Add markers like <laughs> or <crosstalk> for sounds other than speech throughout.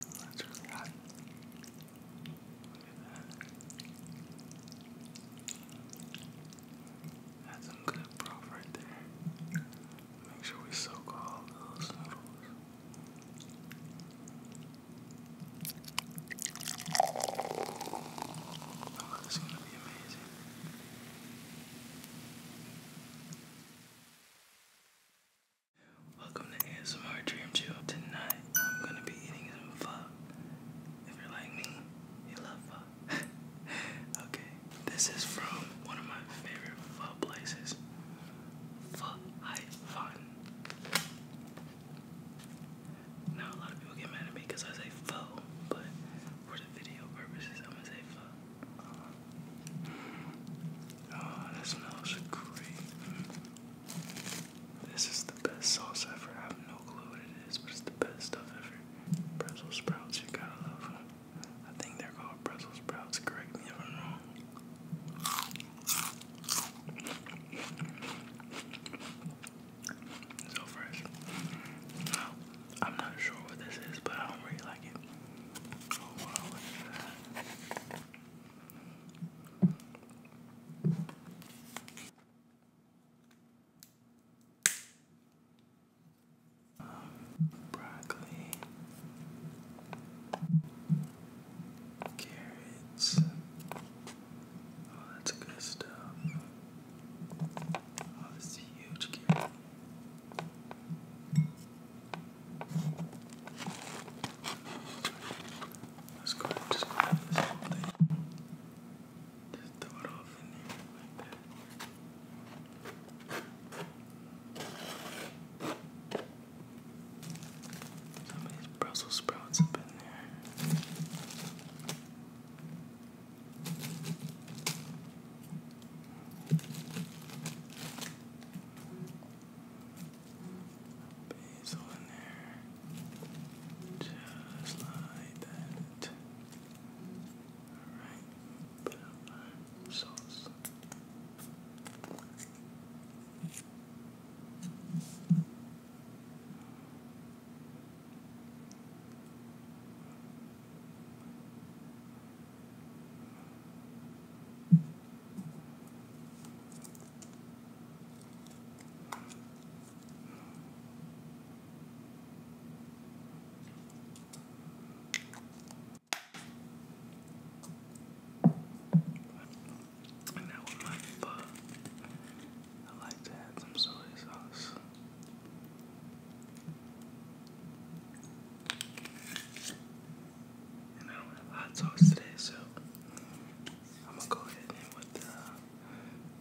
That's really some good broth right there. Make sure we soak all those noodles. Oh, this is gonna be amazing. Welcome to ASMR Dream Chill. Tonight I'm gonna be eating some pho. If you're like me, you love pho. <laughs> okay, this is from one of my favorite pho places. Pho Hai Fun. Now a lot of people get mad at me because I say pho, but for the video purposes I'm gonna say pho. Um, Oh, that smells great. This is the best sauce ever. I have no clue what it is, but it's the best stuff ever. Brussels sprouts, you gotta love them. I think they're called Brussels sprouts. Correct me if I'm wrong. So fresh. I'm not sure what this is, but I really like it. Oh wow, look at that. Um, broccoli, carrots, oh, that's good stuff. Oh, this huge carrot. Let's go ahead and just go this whole thing. Just throw it off in there like that. Some of Brussels sprouts up in there basil in there, just like that. Alright, put up our sauce. And now my pho, I like to add some soy sauce. And I don't have hot sauce today, so I'm gonna go ahead and with the uh,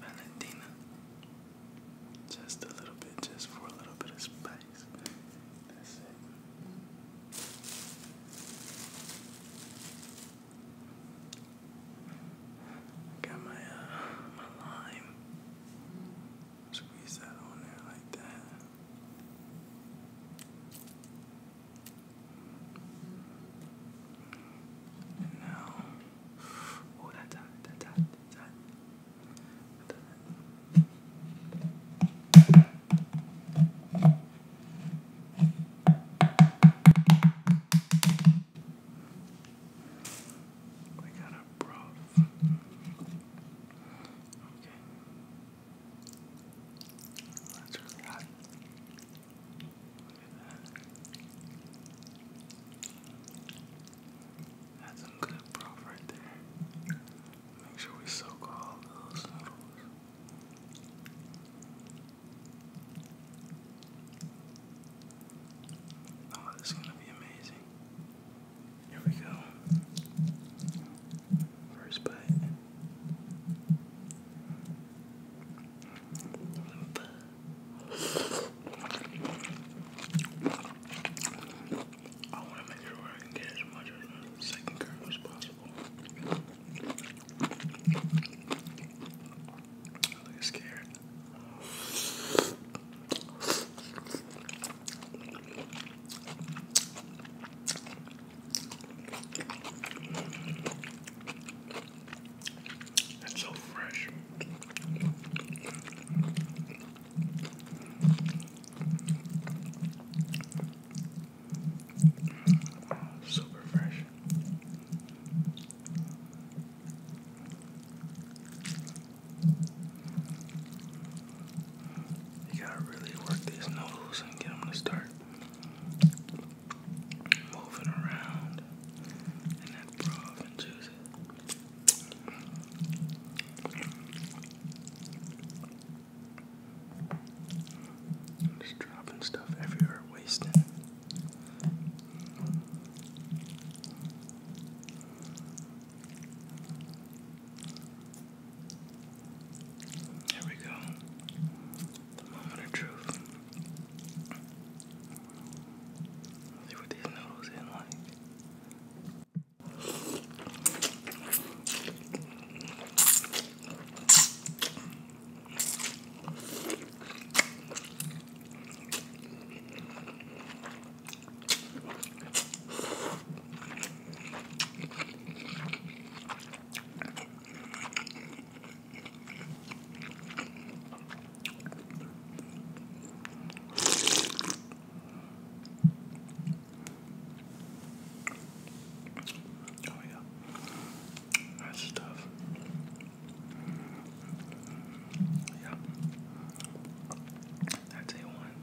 Valentina. Just a little bit, just for a little bit of spice. That's it. Got my uh, my lime. Squeeze that on there like that. And now, oh, that dot, that dot, that dot. We got a broth. Okay. That's really hot. That's some good broth right there. Make sure we soak all those noodles. Oh, this is gonna be amazing. Here we go. First bite. I want to make sure I can get as much second curve as possible. I look scared. It's so fresh. super fresh. You gotta really work these noodles and get them to start moving around in that broth and juice. I'm just dropping stuff everywhere, wasting. There we go. The moment of truth. see what these noodles in like. Oh yeah, that's stuff. Yeah, that's a one.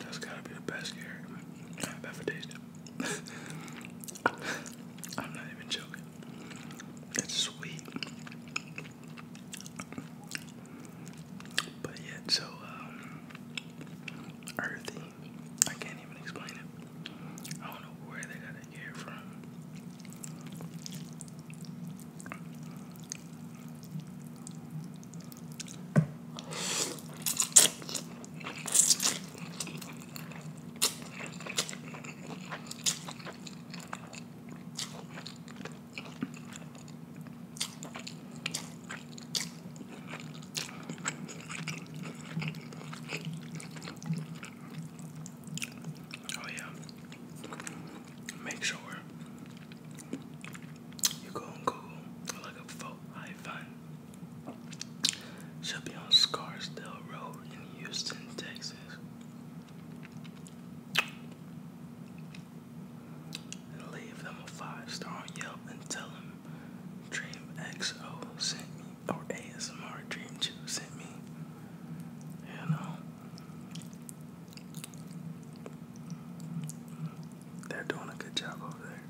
That's gotta be the best carrot I've ever tasted. <laughs> I'm not even joking. It's sweet. But yet so um, earthy. I can't even explain it. I don't know where they got that hair from. Oh, yeah. Make sure you go Google look up Fort High Fun. be on Scarsdale Road in Houston, Texas. And leave them a five star on Yelp and tell them Dream XO sent me or ASMR Dream juice sent me. You know, they're doing a good job over there.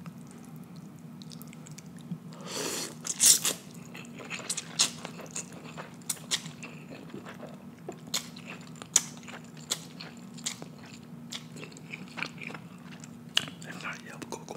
And not Yelp Google.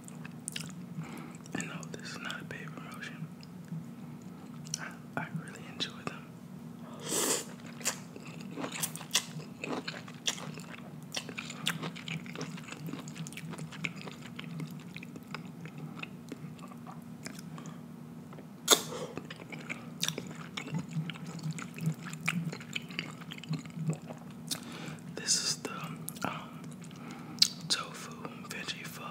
And no, this is not a paid promotion. I really enjoy them. This is the um, tofu veggie pho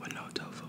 with no tofu.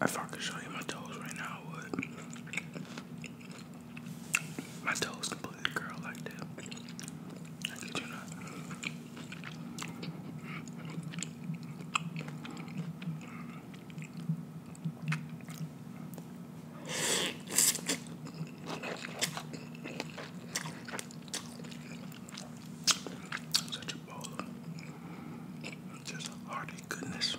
If I fucking show you my toes right now, would. My toes completely curl like that. I you not. Such a baller. Just hearty goodness.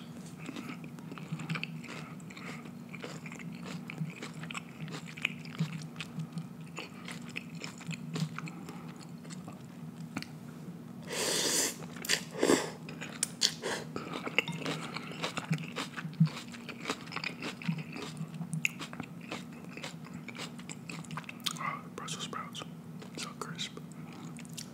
Oh, Brussels sprouts, so crisp.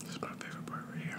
This is my favorite part right here.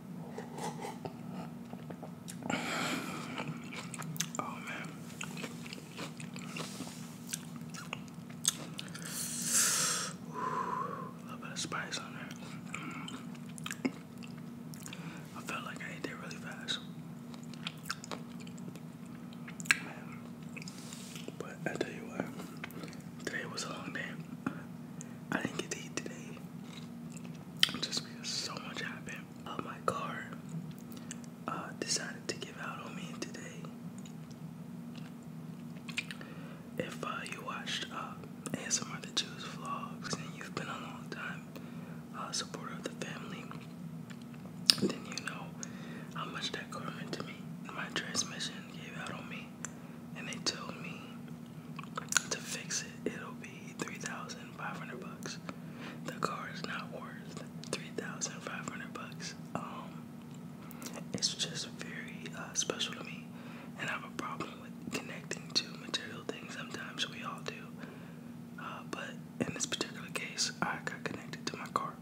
Oh man. a little bit of spice on there. Mm. I felt like I ate that really fast. Man. But I tell you what, today was a long day. I didn't get to eat today. Just because so much happened. Uh, my car uh, decided to give out on me today. If uh, you watched uh, some of The Jews vlogs and you've been a long time uh, supporter of the family, then you know how much that car meant to me. My transmission gave out on me and they told me to fix it, it'll be 3,500 bucks. The car is not worth 3,500 bucks. Um, it's just very uh, special to me, and I have a problem with connecting to material things. Sometimes we all do, uh, but in this particular case, I got connected to my car.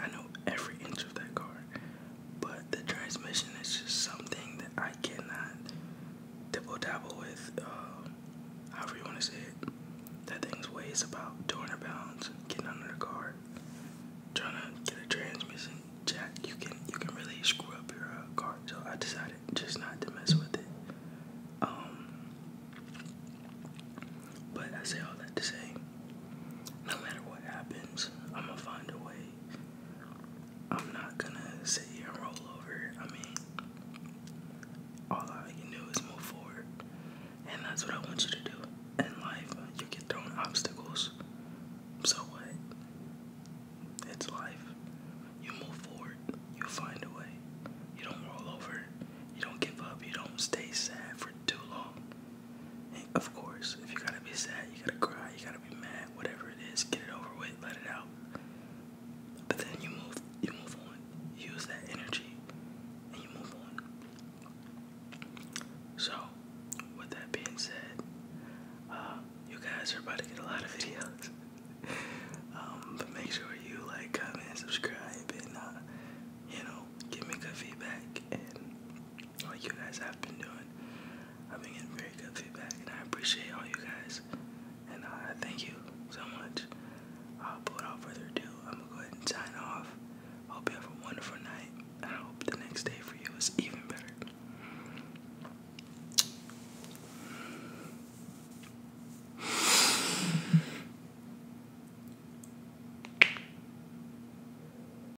I know every inch of that car. But the transmission is just something that I cannot dabble dabble with. Um, however you want to say it. That thing weighs about a pounds. Getting under the car, trying to get a transmission jack, you can you can really screw up your uh, car. So I decided just not to mess with it. Um, but I say all that to say, no matter what happens, I'm gonna find a way I'm not gonna sit here and roll over. I mean, all I can do is move forward, and that's what I want you to do. In life, you get thrown obstacles. So what? It's life. You move forward. You find a way. You don't roll over. You don't give up. You don't stay sad for too long of course, if you gotta be sad, you gotta cry, you gotta be mad, whatever it is, get it over with, let it out. But then you move, you move on. use that energy, and you move on. So, with that being said, uh, you guys are about to get a lot of videos. <laughs> Um, but make sure you like, comment, subscribe, and uh, you know, give me good feedback. And like you guys have been doing. I've been getting very good feedback, and I appreciate all you guys. And uh, I thank you so much. Uh, but without further ado, I'm gonna go ahead and sign off. Hope you have a wonderful night, and I hope the next day for you is even better.